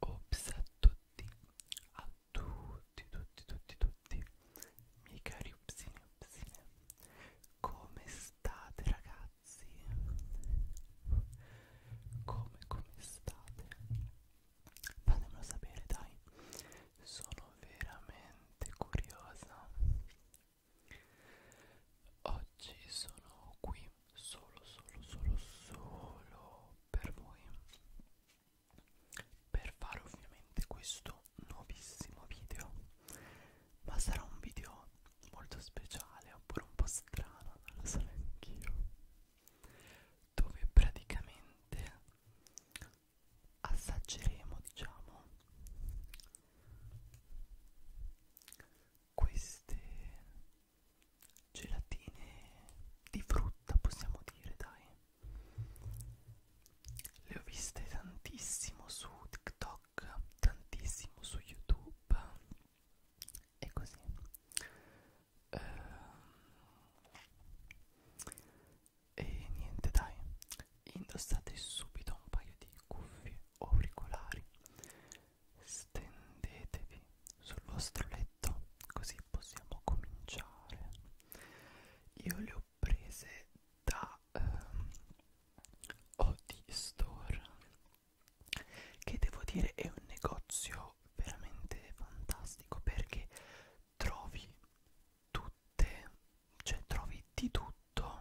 Ops a tutti, a tutti, tutti, tutti, tutti, miei cari upsini, upsine, come state ragazzi? Come, come state? Fatemelo sapere dai, sono sono veramente curiosa oggi sono qui solo solo solo solo per voi per fare ovviamente questo nuovissimo video ma sarà un video molto speciale oppure un po' strano non lo so neanch'io dove praticamente assaggeremo diciamo queste gelatine di frutta possiamo dire dai le ho viste tantissimo su TikTok tantissimo su YouTube e così ehm, e niente dai, indossate subito un paio di cuffie o auricolari, stendetevi sul vostro letto così possiamo cominciare. Io le ho prese da ehm, Odi Store che devo dire è un negozio veramente fantastico perché trovi tutte, cioè trovi di tutto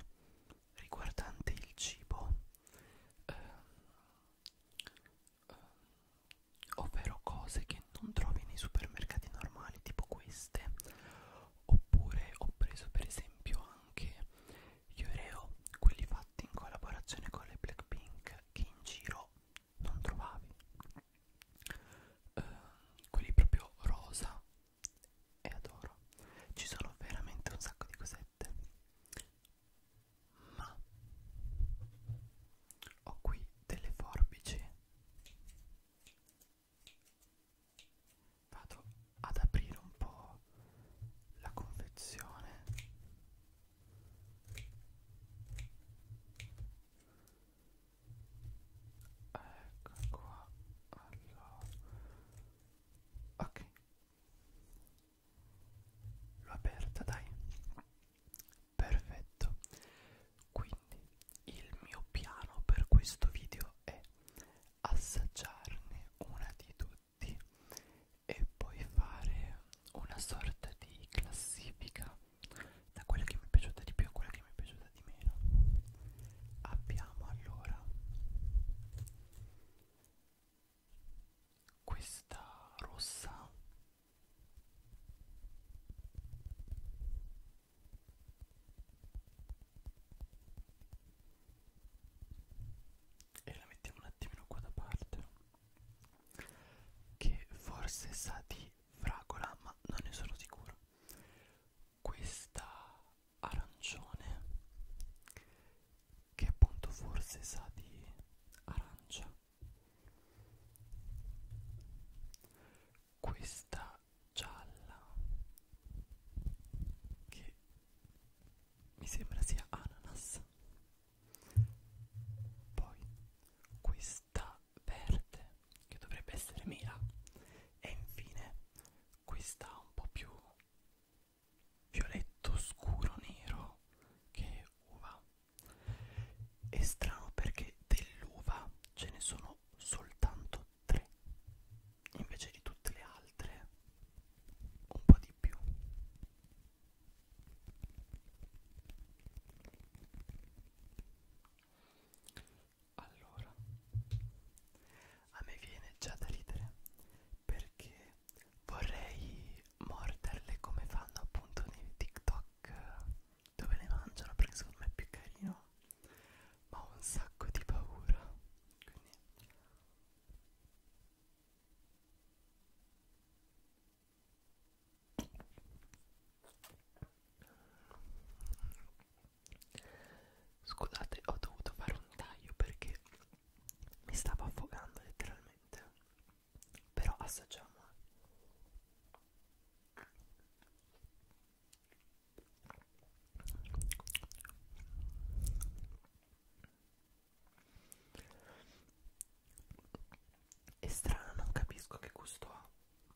riguardante il cibo, eh, eh, ovvero cose che non trovi nei supermercati normali, tipo queste. Oppure ho preso per esempio anche gli Oreo, quelli fatti in collaborazione con le Blackpink, che in giro non trovavi. Uh, quelli proprio rosa e adoro ci sono veramente un sacco di cosette ma ho qui delle forbici vado ad aprire un po' la confezione ecco qua allora ok l'ho aperta dai perfetto quindi il mio piano per questo video è assaggiarne una di tutti e poi fare una sorta di classifica da quella che mi è piaciuta di più a quella che mi è piaciuta di meno abbiamo allora questa rossa e la mettiamo un attimino qua da parte che forse sa di fragola ma non ne sono sicuro questa arancione che appunto forse sa di arancia questa gialla che mi sembra sia ananas poi questa verde che dovrebbe essere mela e infine questa un po' più violetto scuro nero che è uva è strano perché dell'uva ce ne sono soltanto tre invece di tutte le altre un po' di più allora, a me viene già da ridere perché vorrei morderle come fanno appunto nei TikTok dove le mangiano perché secondo me è più carino, ma ho un sacco di paura. Quindi Scusate, ho dovuto fare un taglio perché mi stavo affogando letteralmente. Però assaggiamo. È strano, non capisco che gusto ha.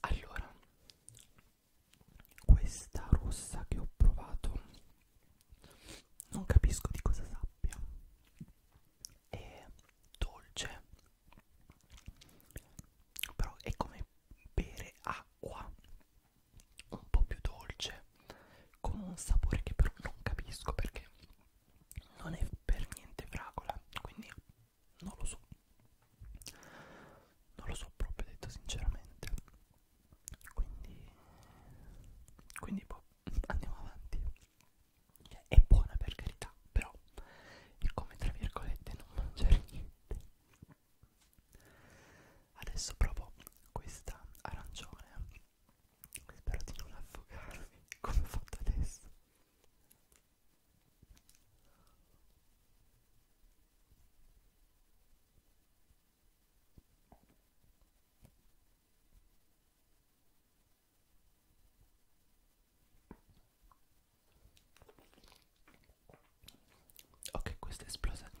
Allora, questa rossa che ho provato non capisco di cosa sappia. È dolce, però è come bere acqua un po' più dolce con un sapore che però non capisco perché non è per niente fragola quindi non lo so non lo so proprio detto sinceramente quindi quindi boh, andiamo avanti cioè, è buona per carità però è come tra virgolette non mangiare niente adesso provo questa arancione spero di non affogarmi come ho fatto adesso Ok, questa è esplosa almeno.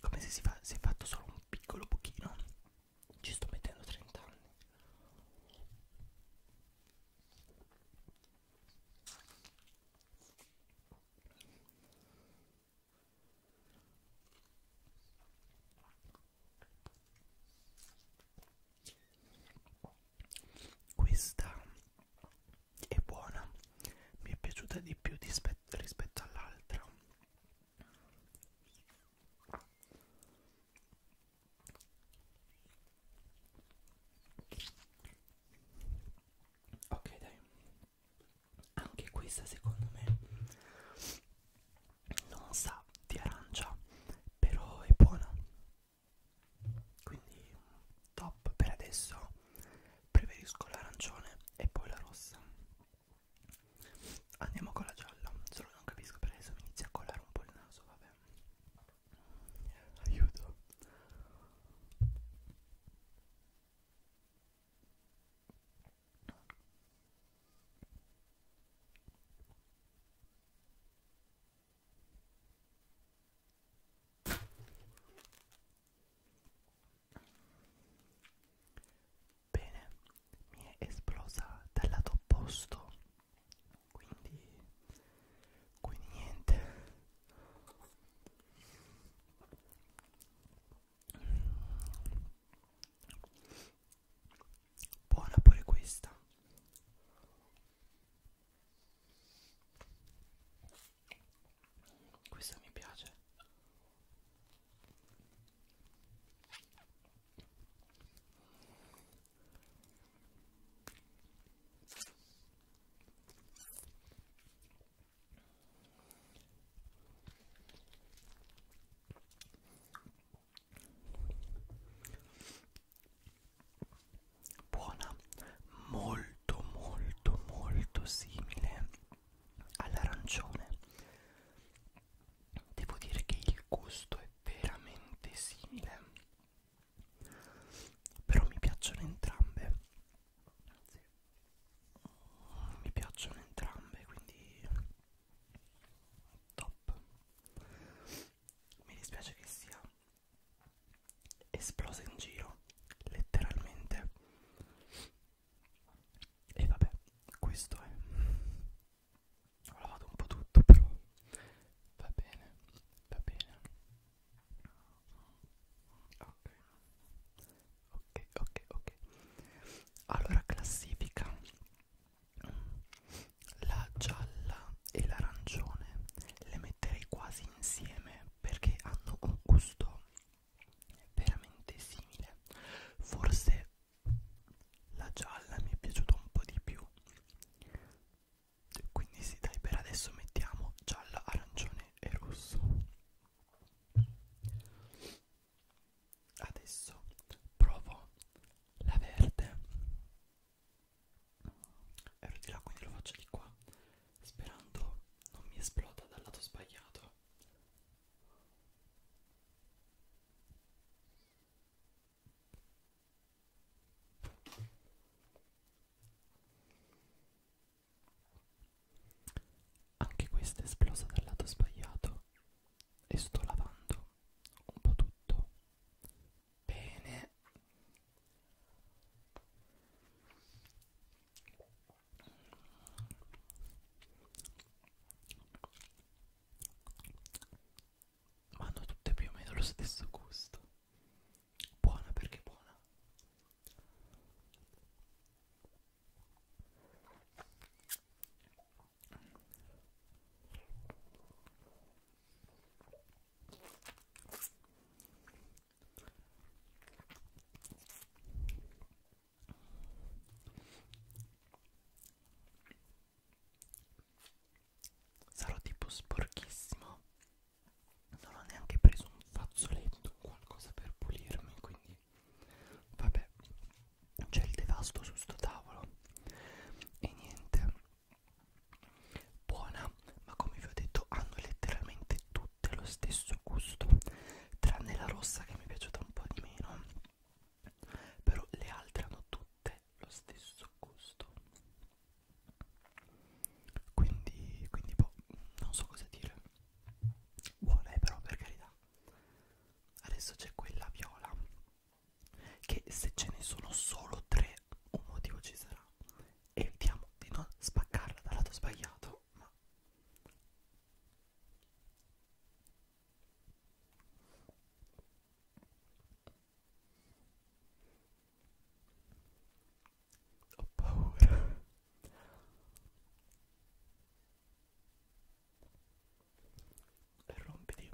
come se si, fa, si è fatto solo un piccolo pochino ci sto mettendo 30 anni questa è buona mi è piaciuta di più rispetto all'altra ok dai anche questa secondo me non sa di arancia però è buona quindi top per adesso preferisco l'arancione e poi la rossa Andiamo con la gialla, solo non capisco perché adesso mi inizia a colare un po' il naso, vabbè. Aiuto. Bene, mi è esplosa dal lato opposto, quindi, quindi niente. Buona pure questa. Questa mi piace. Buona, molto molto molto simile all'arancione devo dire che il gusto è veramente simile però mi piacciono entrambe sì. mi piacciono entrambe quindi top mi dispiace che sia esplosa in giro letteralmente e vabbè, questo è. Ho lavato un po' tutto, però va bene, va bene. Ok, ok, ok, ok. Allora, classifica la gialla e l'arancione le metterei quasi insieme perché hanno un gusto veramente simile forse la gialla mi è piaciuta un po' di più quindi sì dai per adesso mettiamo gialla arancione e rosso adesso provo la verde ero di là quindi lo faccio di qua sperando non mi esploda dal lato sbagliato anche questa è esplosa dal lato sbagliato e sto lavando un po' tutto. Bene ma hanno tutte più o meno lo stesso gusto buona perché buona Sarò tipo sporchissimo. Non ho neanche preso un fazzoletto o qualcosa per pulirmi, quindi vabbè. C'è il devasto su sto tavolo. E niente. Buona, ma come vi ho detto hanno letteralmente tutte lo stesso gusto tranne la rossa che mi è piaciuta un po' di meno però le altre hanno tutte lo stesso gusto quindi, quindi boh, non so cosa dire buona è però per carità adesso c'è quella viola che se ce ne sono solo tre un motivo ci sarà evitiamo di non spaccarla dal lato sbagliato ma ho paura. E rompiti.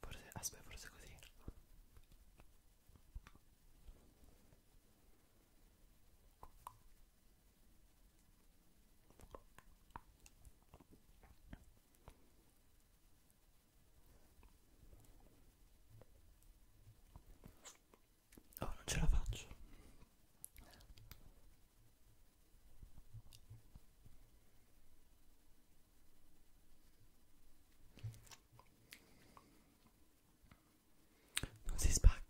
Forse, aspetta, forse così. Oh, non ce la faccio non si spacca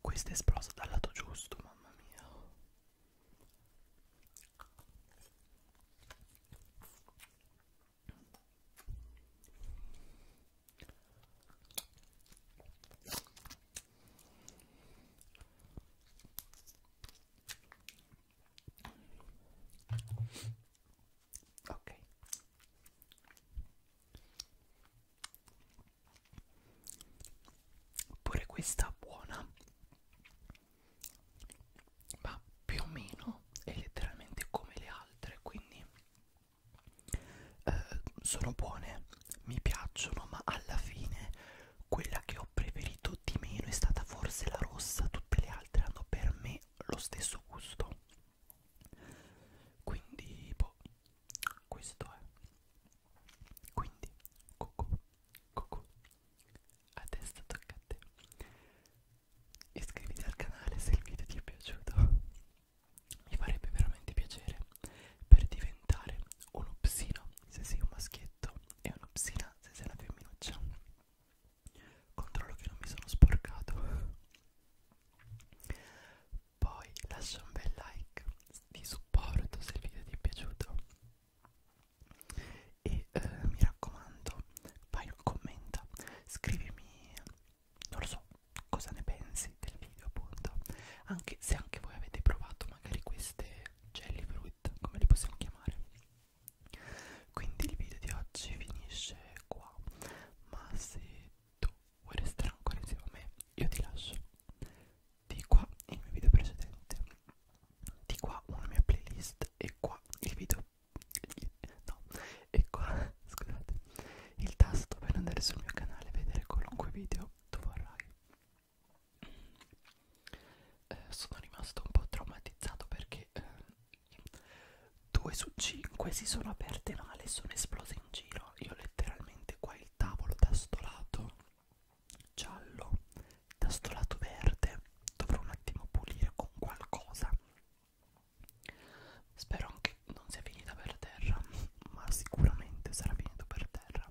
questa è esplosa dal lato giusto mamma mia ok pure questa buona ma più o meno è letteralmente come le altre quindi eh, sono buone, mi piacciono, ma alla fine quella che ho preferito di meno è stata forse la rossa, tutte le altre hanno per me lo stesso gusto. Quindi, boh, questo è. Quindi, cucù, cucù. Adesso tocca a te. Iscriviti al canale se il video ti è piaciuto. Mi farebbe veramente piacere per diventare un upsino se sei un maschietto e un upsina se sei una femminuccia. Controllo che non mi sono sporcato. Poi lascia un bel like di supporto se il video ti è piaciuto. E eh, mi raccomando, vai, commenta, scrivimi, non lo so, cosa ne pensi base del video appunto anche se anche voi avete provato magari queste jelly fruit come li possiamo chiamare quindi il video di oggi finisce qua ma se tu vuoi restare ancora insieme a me io ti lascio di qua il mio video precedente di qua una mia playlist e qua il video no e qua scusate il tasto per andare sul mio canale e vedere qualunque video tu vorrai eh, sono rimasto un po' traumatizzato perché eh, due su cinque si sono aperte male e sono esplose in giro. Io letteralmente qua il tavolo da sto lato giallo, da sto lato verde, dovrò un attimo pulire con qualcosa. Spero anche non sia finita per terra, ma sicuramente sarà finito per terra.